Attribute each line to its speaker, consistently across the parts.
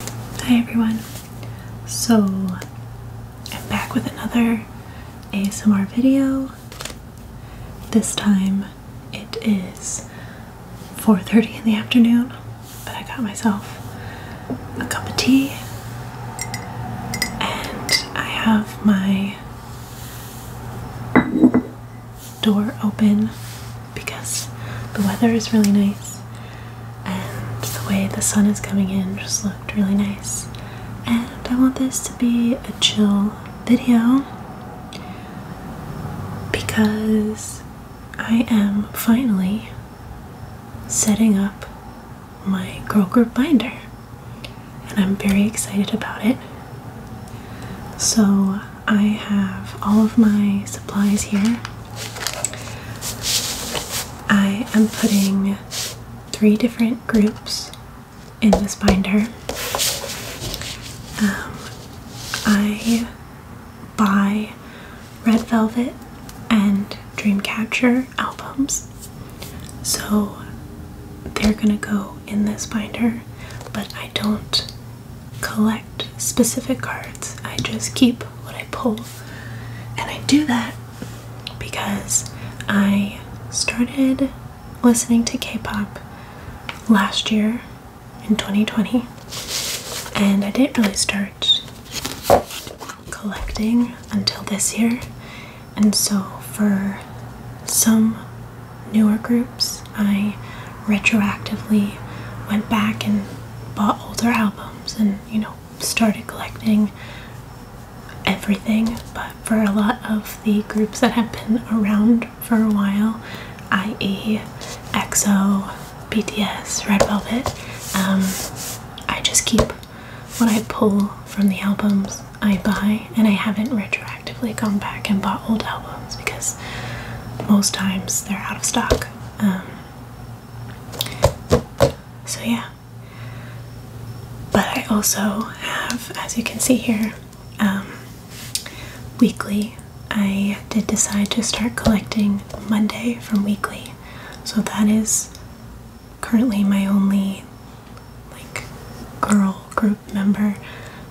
Speaker 1: Hi everyone. So I'm back with another ASMR video. This time it is 4:30 in the afternoon, but I got myself a cup of tea and I have my door open because the weather is really nice and the way the sun is coming in just looked really nice. And I want this to be a chill video because I am finally setting up my girl group binder and I'm very excited about it. So I have all of my supplies here. I am putting three different groups in this binder. Um, I buy Red Velvet and Dreamcatcher albums, so they're gonna go in this binder, but I don't collect specific cards. I just keep what I pull. And I do that because I started listening to K pop last year in 2020. And I didn't really start collecting until this year. And so for some newer groups, I retroactively went back and bought older albums and you know started collecting everything but for a lot of the groups that have been around for a while i.e exo bts red velvet um, i just keep what i pull from the albums i buy and i haven't retroactively gone back and bought old albums because most times they're out of stock um, so, yeah. But I also have, as you can see here, um, weekly. I did decide to start collecting Monday from weekly. So, that is currently my only like girl group member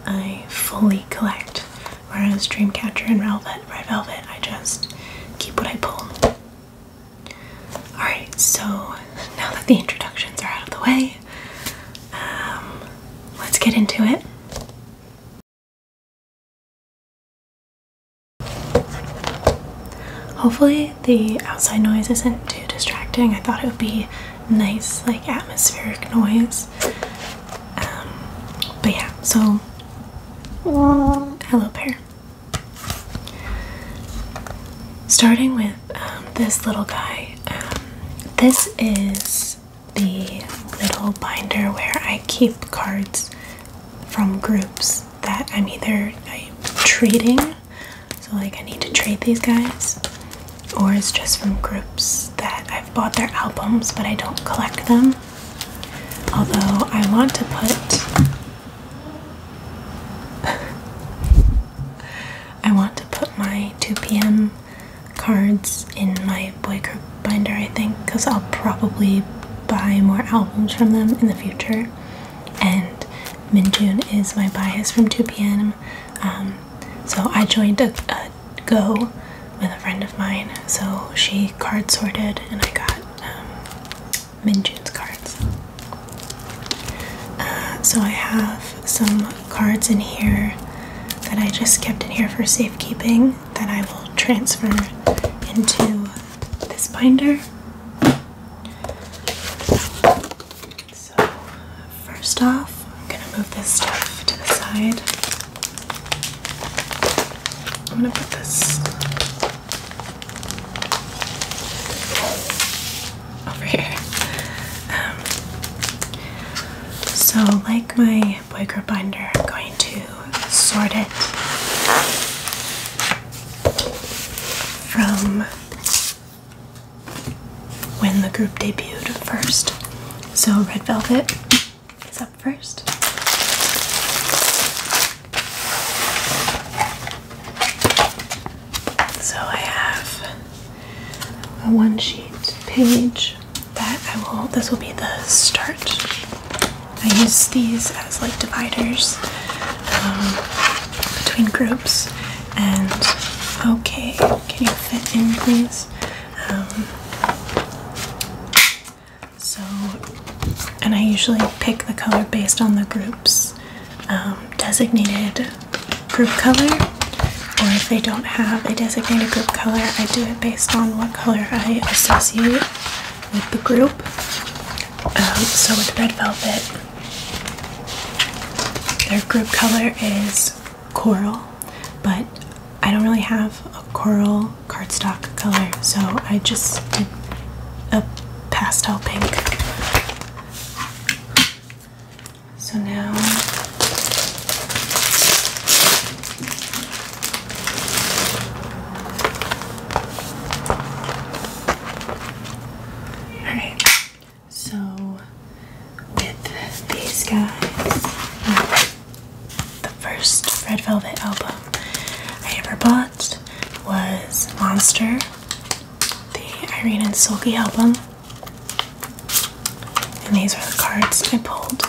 Speaker 1: I fully collect Whereas Dreamcatcher and Velvet, Red Velvet, I just keep what I pull. Alright, so now that the introductions are out of the way, um, let's get into it. Hopefully the outside noise isn't too distracting. I thought it would be nice, like atmospheric noise. Um, but yeah, so Hello, pair. Starting with um, this little guy, um, this is the little binder where I keep cards from groups that I'm either trading, so like I need to trade these guys, or it's just from groups that I've bought their albums but I don't collect them. Although I want to put I want to put my 2 p.m. cards in my boy group binder, I think, because I'll probably buy more albums from them in the future. And Minjun is my bias from 2 p.m. Um, so I joined a Go with a friend of mine, so she card sorted and I got um, Minjun's cards. Uh, so I have some cards in here that I just kept in here for safekeeping that I will transfer into this binder. So, first off, I'm gonna move this stuff to the side. I'm gonna put this over here. Um, so, like my boy group binder, I'm going to sort it from when the group debuted first. So, Red Velvet is up first. So I have a one sheet page that I will, this will be the start. I use these as like dividers um, between groups and okay, can you fit in please? Um, so, and I usually pick the color based on the group's um, designated group color, or if they don't have a designated group color, I do it based on what color I associate with the group. Um, so, with Red Velvet, their group color is coral, but I don't really have a coral cardstock color, so I just did a pastel pink. So now all right, so with these guys, the first Red Velvet album I ever bought was Monster, the Irene and Sulky album. And these are the cards I pulled.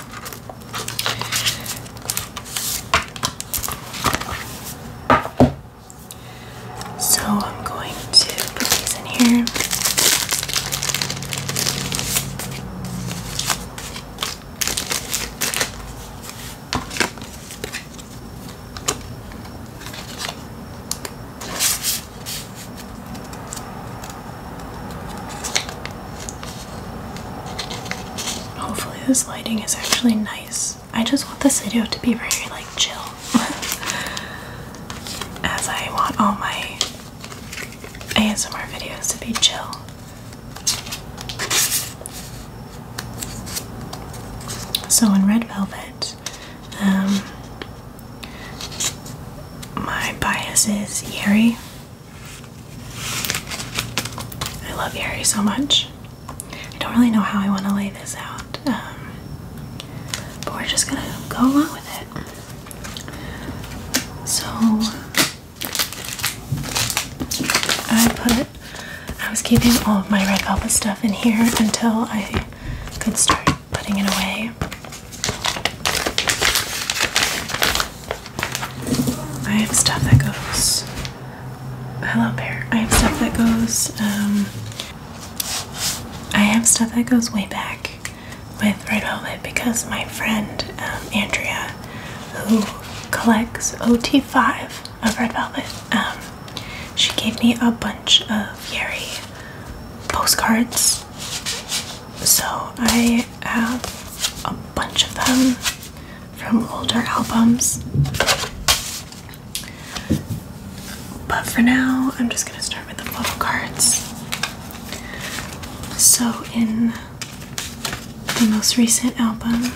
Speaker 1: So I'm going to put these in here. Hopefully this lighting is actually nice. I just want this video to be very like chill. As I want all my ASMR videos to be chill. So in Red Velvet, um, my bias is Yeri. I love Yeri so much. I don't really know how I want to lay this out, um, but we're just gonna go along with it. So I put, it. I was keeping all of my red velvet stuff in here until I could start putting it away. I have stuff that goes. Hello, Bear. I have stuff that goes. Um, I have stuff that goes way back with red velvet because my friend um, Andrea, who collects OT5 of Red Velvet, um, she gave me a bunch of Yeri postcards. So I have a bunch of them from older albums. But for now, I'm just going to start with the postcards. So, in the most recent album,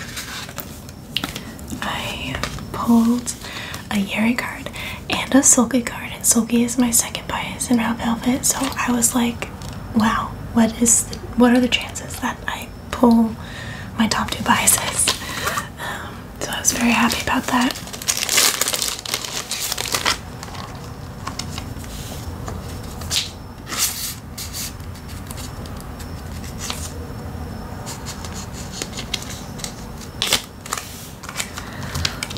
Speaker 1: I pulled a Yuri card and a Sulky card, and Sulky is my second bias in Round Velvet, so I was like, wow, what is what are the chances that I pull my top two biases? Um, so I was very happy about that.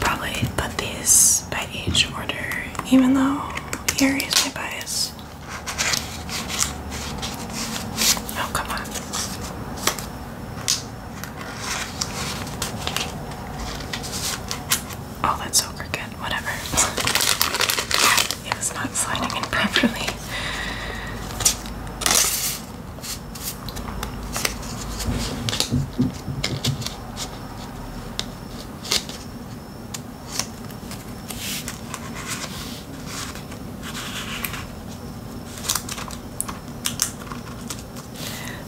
Speaker 1: Probably put these by each order, even though here is my bias. Oh, come on. Oh, that's so crooked. Whatever. it not sliding in properly.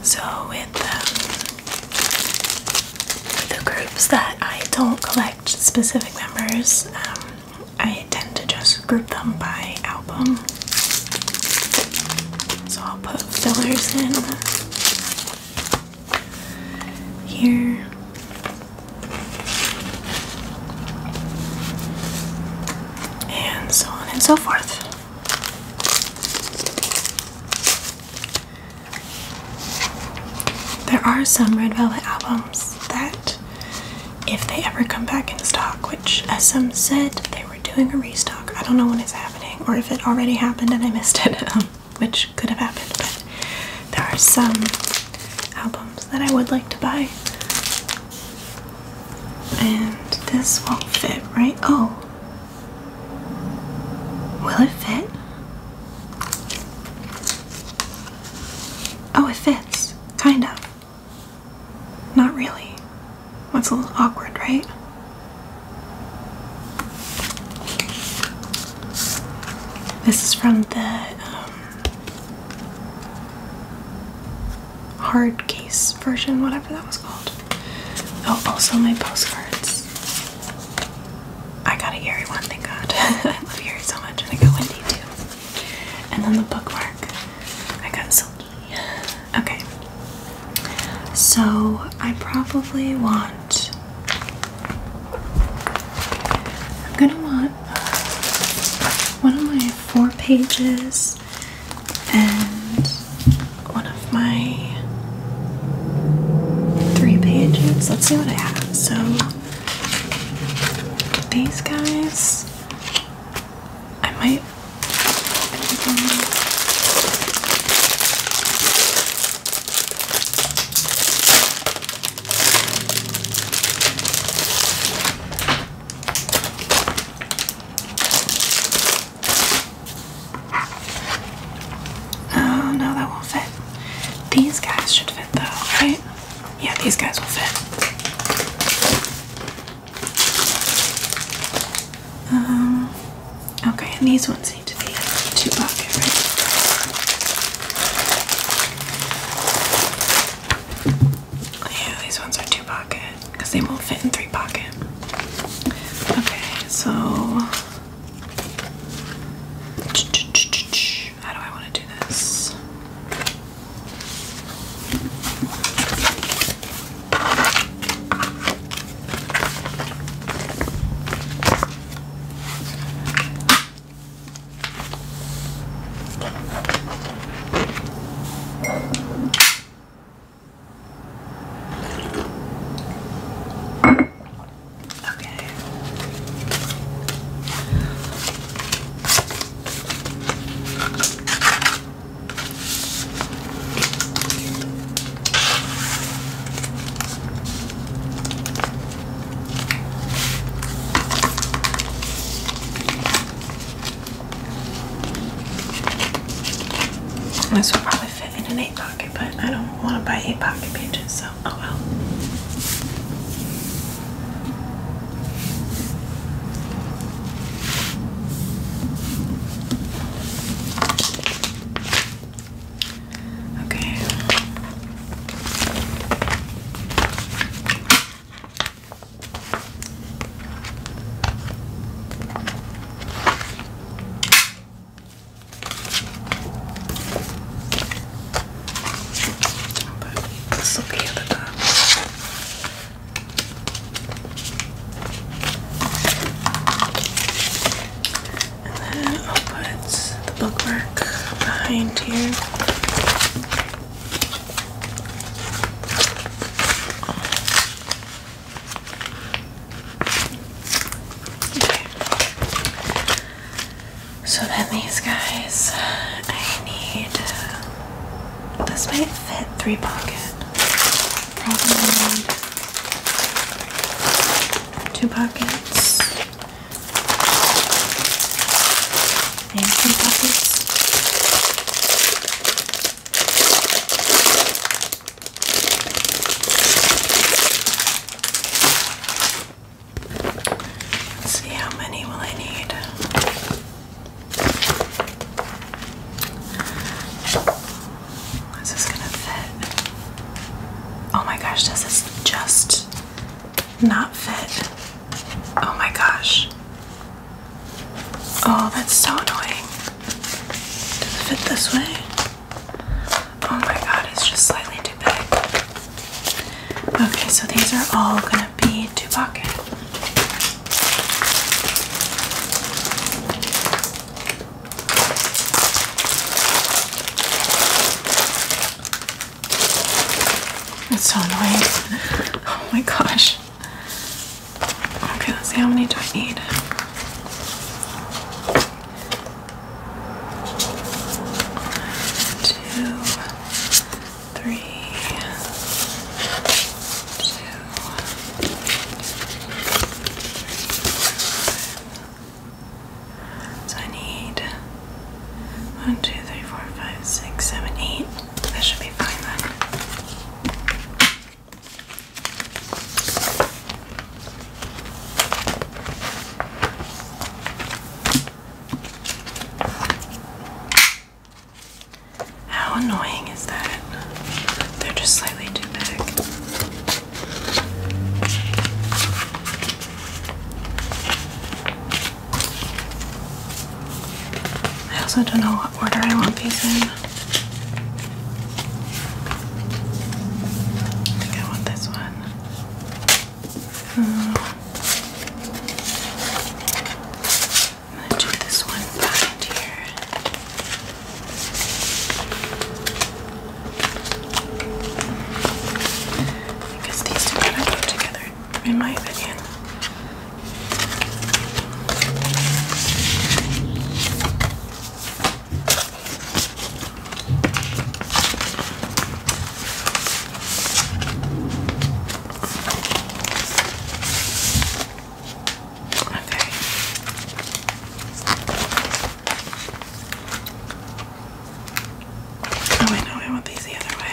Speaker 1: So with um, the groups that I don't collect specific members, um, I tend to just group them by album. So I'll put fillers in here. And so on and so forth. There are some Red Velvet albums that, if they ever come back in stock, which as some said they were doing a restock, I don't know when it's happening or if it already happened and I missed it, um, which could have happened, but there are some albums that I would like to buy. And this won't fit, right? Oh. Will it fit? Oh, it fits. Kind of. Not really. That's a little awkward, right? This is from the um, hard case version, whatever that was called. Oh, also my postcards. I got a Erie one, thank God. I love Erie so much, and I got Wendy too. And then the bookmark, I got Silky. Okay, so I probably want. I'm gonna want uh, one of my four pages and one of my three pages. Let's see what I have. So these guys, I might. Oh no, that won't fit. These guys should fit though, right? Yeah, these guys will fit. Um, okay, and these ones need to be two pocket, right? Yeah, these ones are two pocket because they won't fit in three pocket. Okay, so how do I want to do this? Okay. This will probably fit in an eight pocket, but I don't want to buy eight pocket pages, so oh well. Okay. But this at the top. And then I'll put the bookmark behind here. So then these guys, I need. This might fit three pocket. two pockets. And two pockets. Let's see how many will I need. Is this gonna fit? Oh my gosh, does this just not fit? Oh my gosh. Oh, that's so annoying. Does it fit this way? Oh my god, it's just slightly too big. Okay, so these are all gonna be two pocket. It's so annoying. Oh my gosh. Okay, let's see how many do I need? Two, three, two, so I need one, two, three, four, five, six, seven, eight. That should be fine then. How annoying is that? They're just slightly too big. I also don't know what order I want these in. I think I want this one. I'm going to do this one behind here. Because these two go together, in my opinion. Okay. Oh wait, no, I want these the other way.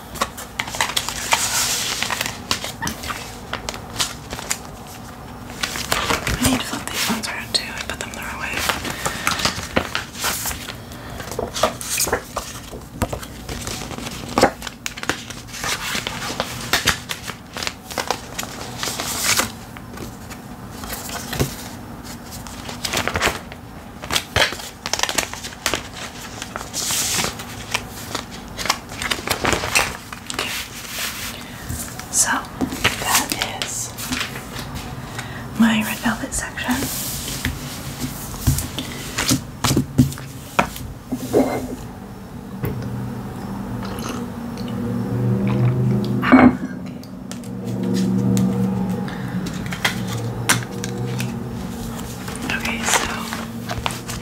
Speaker 1: I need to flip these ones around too. I put them the wrong way. So that is my red velvet section. Okay, so Okay.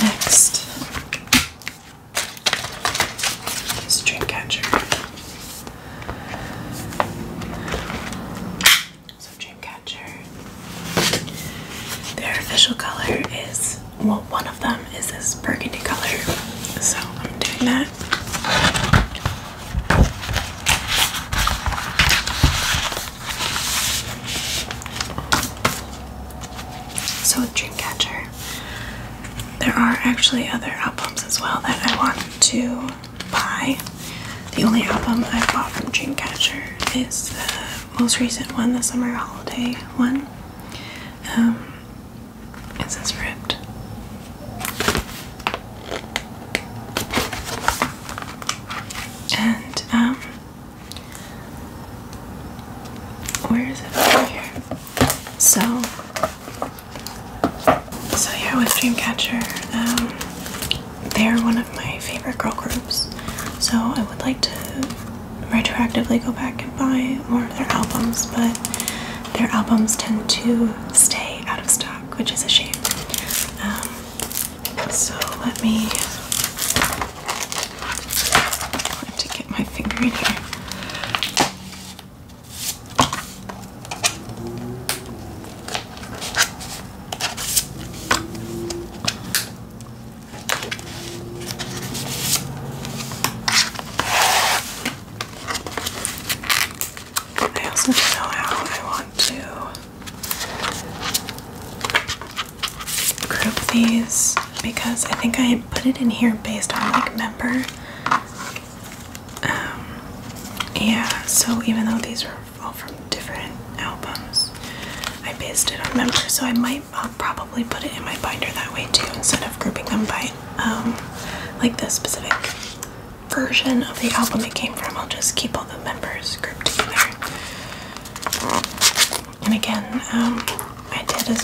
Speaker 1: Next is dreamcatcher. So Dreamcatcher. Their official color is well one of them is this burgundy color. So I'm doing that. So with Dreamcatcher, there are actually other albums as well that I want to buy. The only album I've bought from Dreamcatcher is the most recent one, the summer holiday one. Um, it's it says ripped. And, um, where is it over here? So, so yeah, with Dreamcatcher, um, they're one of my favorite girl groups. So I would like to retroactively go back and buy more of their albums, but their albums tend to stay out of stock, which is a shame. Um, so let me I to get my finger in here. I also don't know how I want to group these because I think I put it in here based on like member. Um, yeah, so even though these are all from different albums. I based it on members, so I might uh, probably put it in my binder that way too, instead of grouping them by um, like the specific version of the album it came from. I'll just keep all the members grouped together. And again, um, I did a,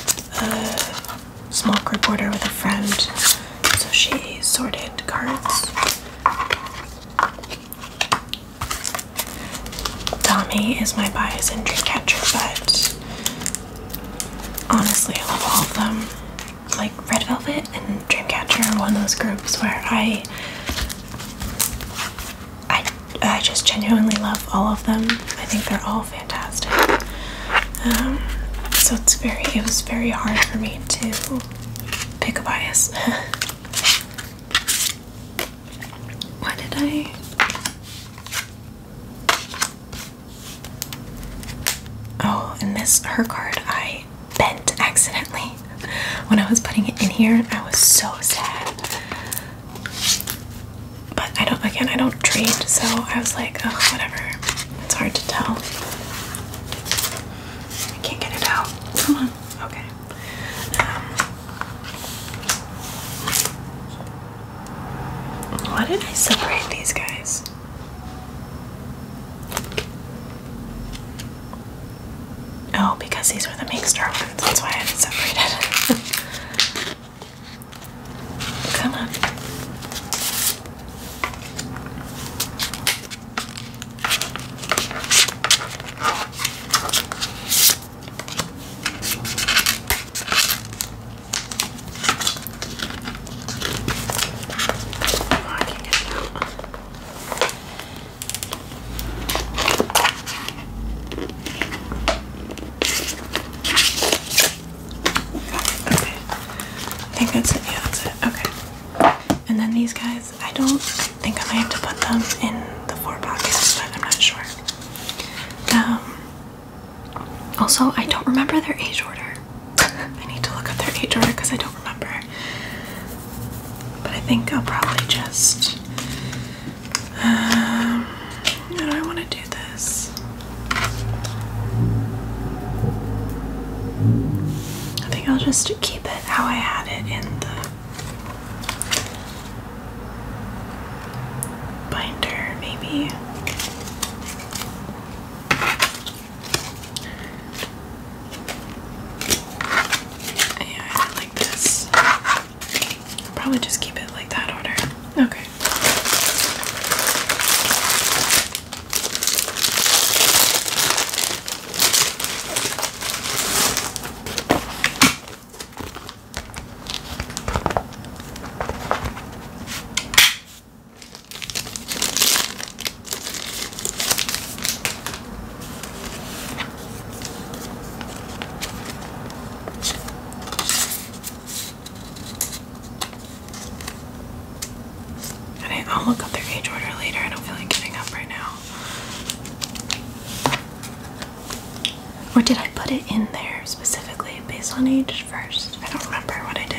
Speaker 1: a small group order with a friend, so she sorted cards. Tommy is my bias and Dreamcatcher, but honestly, I love all of them. Like Red Velvet and Dreamcatcher are one of those groups where I, I, I just genuinely love all of them. I think they're all fantastic. Um, so it's very, it was very hard for me to pick a bias. Why did I? Oh, and this her card I bent accidentally. When I was putting it in here, I was so sad. But I don't again I don't trade, so I was like, oh whatever. It's hard to tell. I can't get it out. Come on. Okay. Um, why did I separate these guys? Oh, because these were the Minkstar ones. That's why I separated. Come on. I think that's it. Yeah, that's it. Okay. And then these guys I don't think I might have to put them in the four pockets, but I'm not sure. Um, also, I don't remember their age order. I need to look up their age order because I don't remember. But I think I'll probably just. Um, do I want to do this? I think I'll just keep it how I had it in the binder, maybe. Yeah, like this. probably just keep it like that order. Okay. I'll look up their age order later. I don't feel like getting up right now. Or did I put it in there specifically based on age first? I don't remember what I did.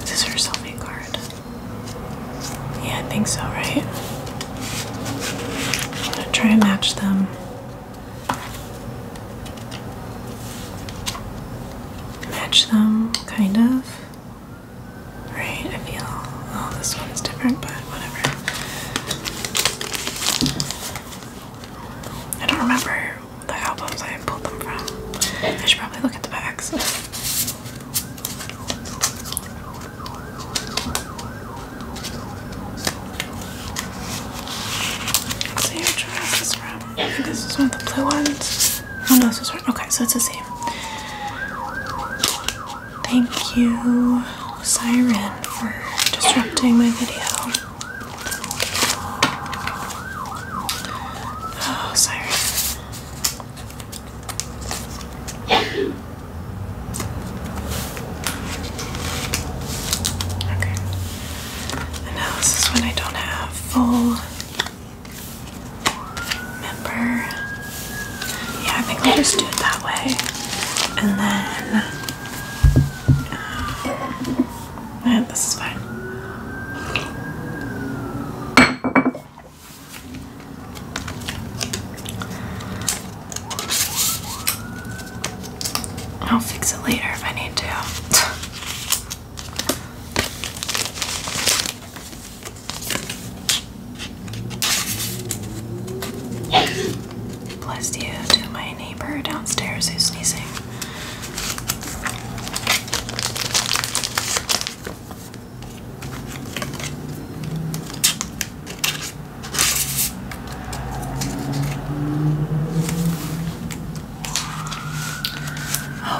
Speaker 1: This is her selfie card. Yeah, I think so, right? I'm gonna try and match them. Match them, kind of. Right, I feel. Oh, this one's different, but whatever. I don't remember the albums I pulled them from. I should probably look at the backs. see which one from. I think this is one of the blue ones. Oh no, this is one. Okay, so it's the same. Thank you, Siren, for disrupting my video. Oh, Cyrus. Okay. And now this is when I don't have full member. Yeah, I think I'll just do it that way. And then. Um, yeah, this is fine. I'll fix it later if I need to. Bless you to my neighbor downstairs who's sneezing. Oh,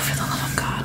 Speaker 1: for the love of God.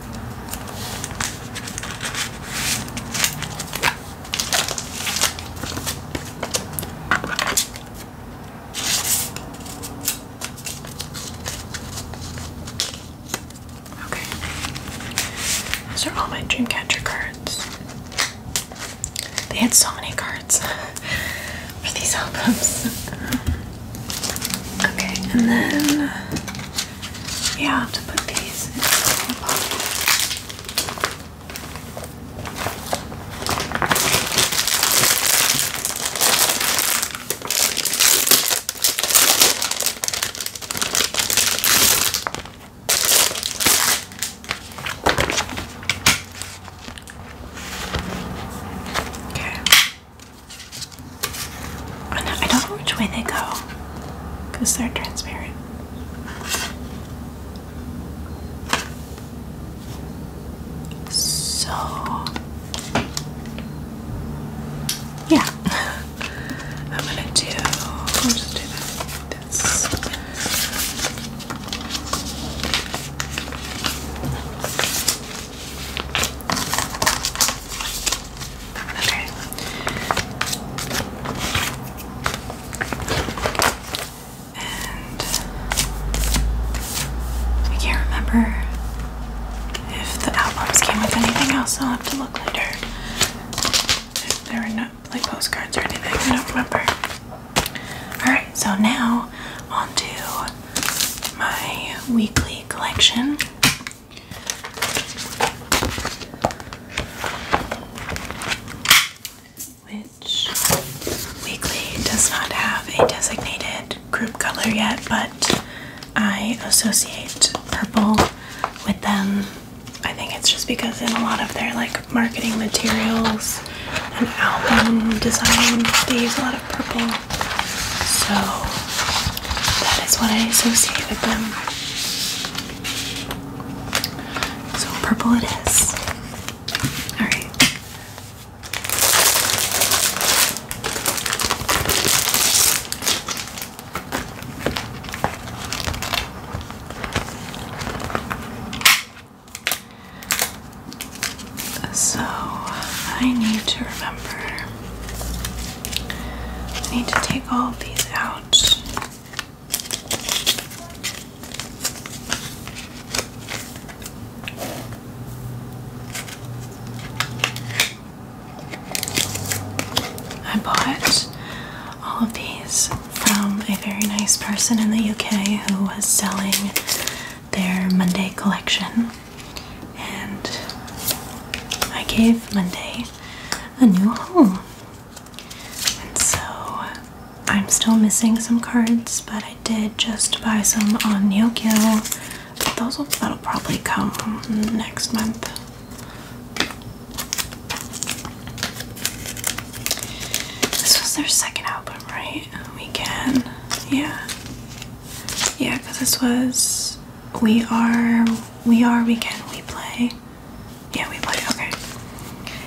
Speaker 1: Okay, those are all my Dreamcatcher cards. They had so many cards for these albums. okay, and then yeah, to put these in the pocket. Okay. I don't know which way they go because they're transparent. So, yeah, I'm gonna do. I'll just do this. I can't remember if the albums came with anything else. I'll have to look later. If there were not like postcards or anything, I don't remember. Alright, so now on to my weekly collection. Which Weekly does not have a designated group color yet, but I associate purple with them. I think it's just because in a lot of their like marketing materials and album design, they use a lot of purple. So that is what I associate with them. So purple it is. Alright. So I need to remember need to take all these out. I bought all of these from a very nice person in the UK who was selling their Monday collection, and I gave Monday a new home. And so I'm still missing some cards, but I did just buy some on Neokio. But those will that'll probably come next month. This was their second album, right? Weekend. Yeah. Yeah, because this was We Are we are weekend we play. Yeah, we play. Okay.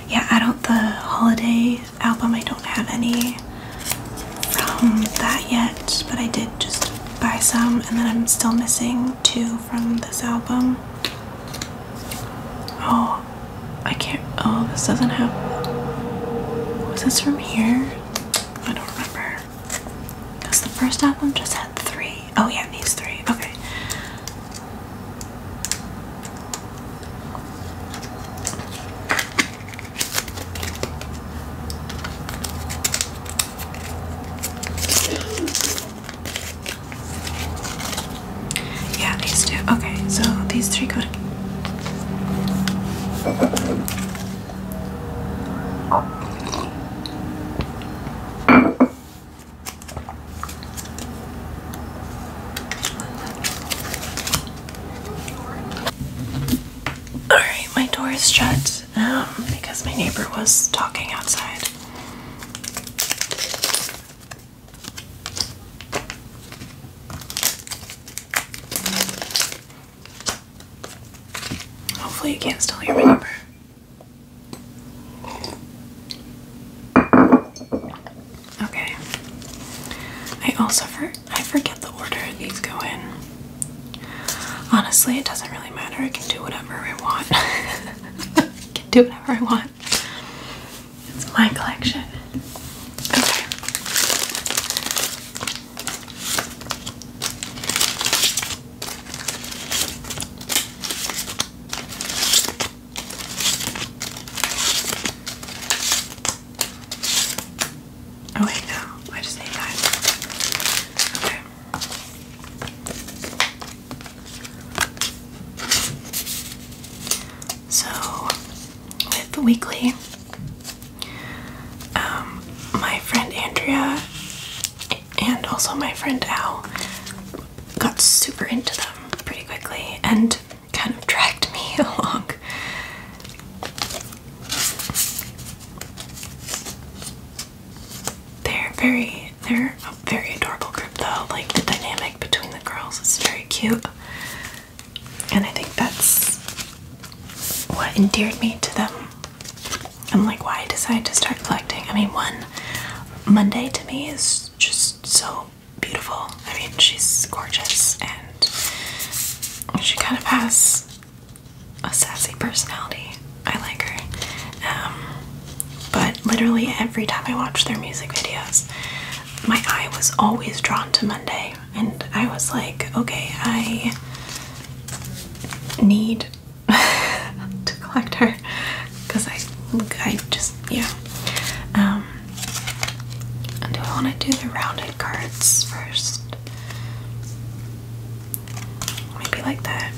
Speaker 1: Yeah, I don't. The holiday album, I don't have any from that yet, but I did just buy some, and then I'm still missing two from this album. Oh, I can't. Oh, this doesn't have. Was this from here? I don't remember. Because the first album just had three. Oh yeah, these three. Okay. Yeah, these two. Okay, so these three go Alright, my door is shut um, because my neighbor was talking outside. Hopefully, you can't still hear me. Okay. I also I forget the order these go in. Honestly, it doesn't really matter. I can do whatever I want. can do whatever I want. It's my collection. Okay. Oh no, I just need that. Okay. So with the weekly, um, my friend Andrea and also my friend Al got super into them pretty quickly and kind of dragged me along. They're very they're a very adorable group though. Like the dynamic between the girls is very cute. And I think that's what endeared me to them. I'm like, why I decided to start collecting. I mean, one, Monday to me is just so beautiful. I mean, she's gorgeous and she kind of has a sassy personality. I like her. Um, but literally every time I watch their music videos, my eye was always drawn to Monday. And I was like, okay, I need to collect her because I I just yeah um, do I want to do the rounded cards first maybe like that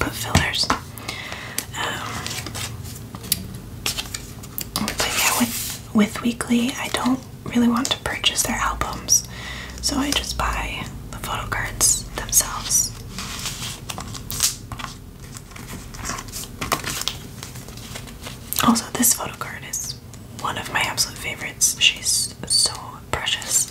Speaker 1: put fillers um, but yeah with with weekly I don't really want to purchase their albums so I just buy the photo cards themselves. Also, this photo card is one of my absolute favorites. She's so precious.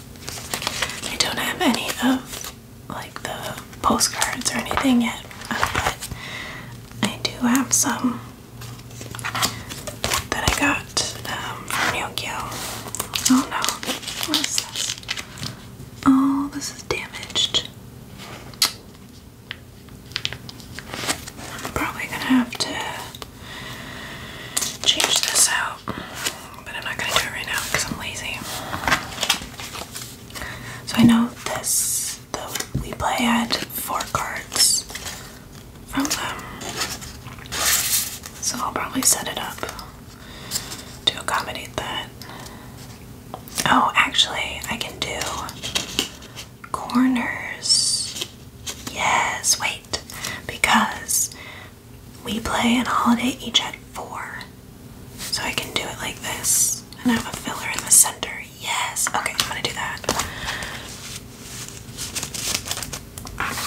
Speaker 1: I don't have any of like the postcards or anything yet, but I do have some that I got from um, from Yokio. Oh no, what is this? Oh, this is damaged. I'm probably gonna have to change this out but I'm not gonna do it right now because I'm lazy. So I know this, though, we play at four cards from them. So I'll probably set it up to accommodate that. Oh, actually, I can do corners. Yes, wait, because we play and holiday each at four. So I can do it like this and I have a filler in the center. Yes. Okay, I'm gonna do that. Perfect.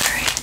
Speaker 1: All right.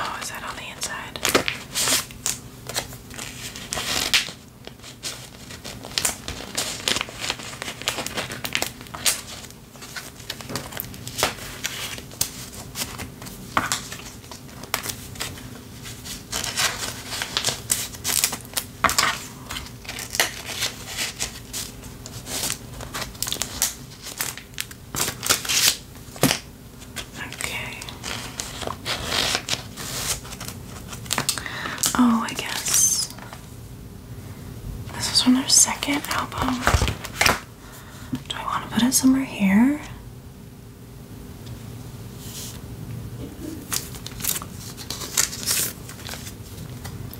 Speaker 1: Oh, is that on the inside? Okay. Oh, I guess this is from their second album. Do I want to put it somewhere here?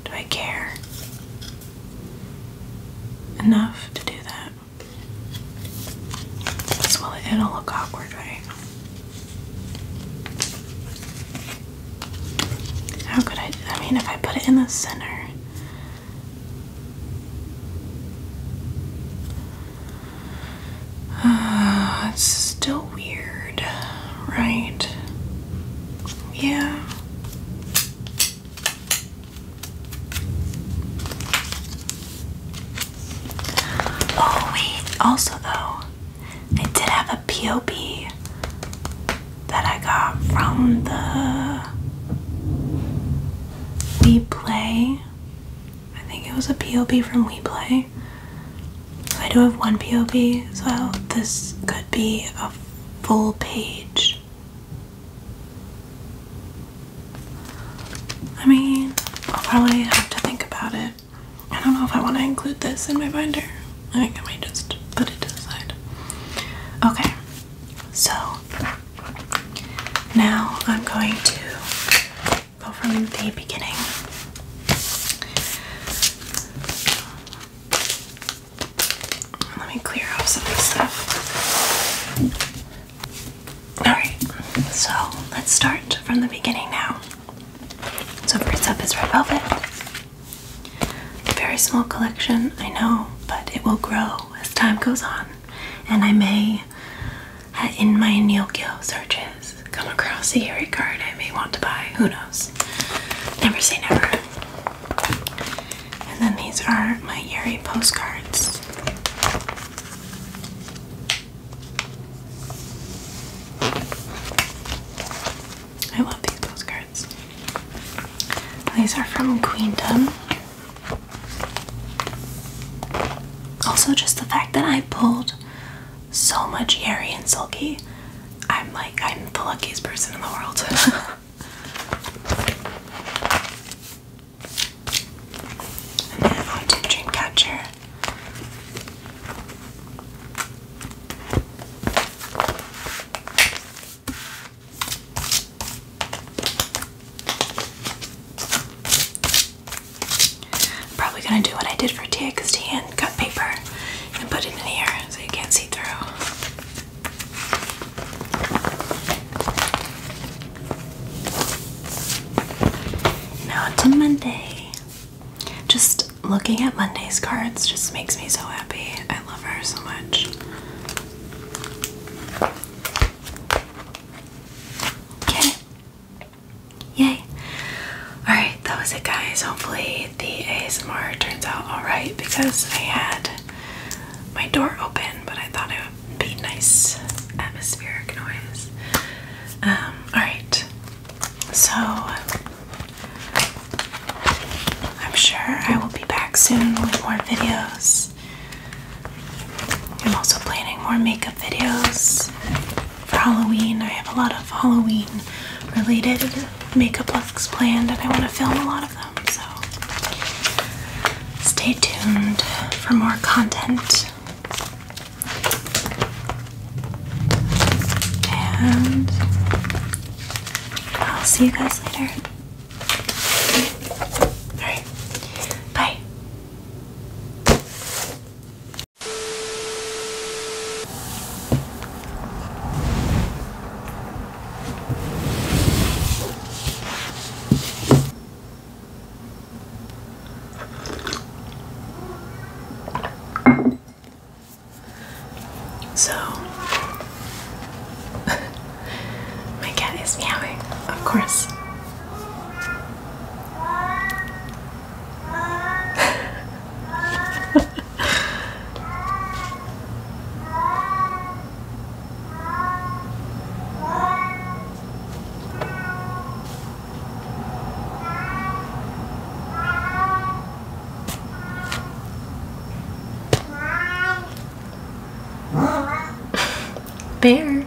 Speaker 1: Do I care enough to do that? well, it'll look awkward, right? How could I? I mean, if I put it in the center. Uh, it's still weird, right? Yeah. Oh wait, also though, I did have a POP that I got from the We Play. I think it was a POP from We Play. So I do have one POP, so this could be a full page. I mean, I'll probably have to think about it. I don't know if I want to include this in my binder. I think I might just put it to the side. Okay, so now I'm going to go from the beginning. Let me clear off some of this stuff. Alright, so let's start from the beginning now. So, first up is Red Velvet. A Very small collection, I know, but it will grow as time goes on. And I may, uh, in my Neokyo searches, come across a Yuri card I may want to buy. Who knows? Never say never. And then these are my Yeri postcards. I love these postcards. These are from Queendom. Also, just the fact that I pulled so much Yeri and Sulky. I'm like, I'm the luckiest person in the world. and then on to Dreamcatcher. Probably gonna do what I did for TXT and cut paper and put it in here so you can't see through. Now to Monday. Just looking at Monday's cards just makes me so happy. I love her so much. Okay. Yay. Alright, that was it, guys. Hopefully, the ASMR turns out alright because I had my door open, but I thought it would be nice atmospheric noise. Um, alright, so I'm sure I will be back soon with more videos. I'm also planning more makeup videos for Halloween. I have a lot of Halloween related makeup looks planned, and I want to film a lot of them. So stay tuned for more content. And I'll see you guys later. Alright, bye. So, my cat is meowing, of course. Bear.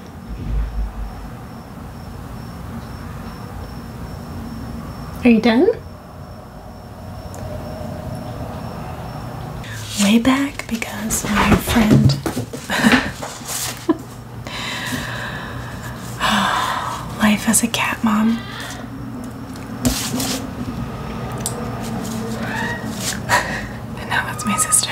Speaker 1: Are you done? way back because my friend life as a cat mom and now that's my sister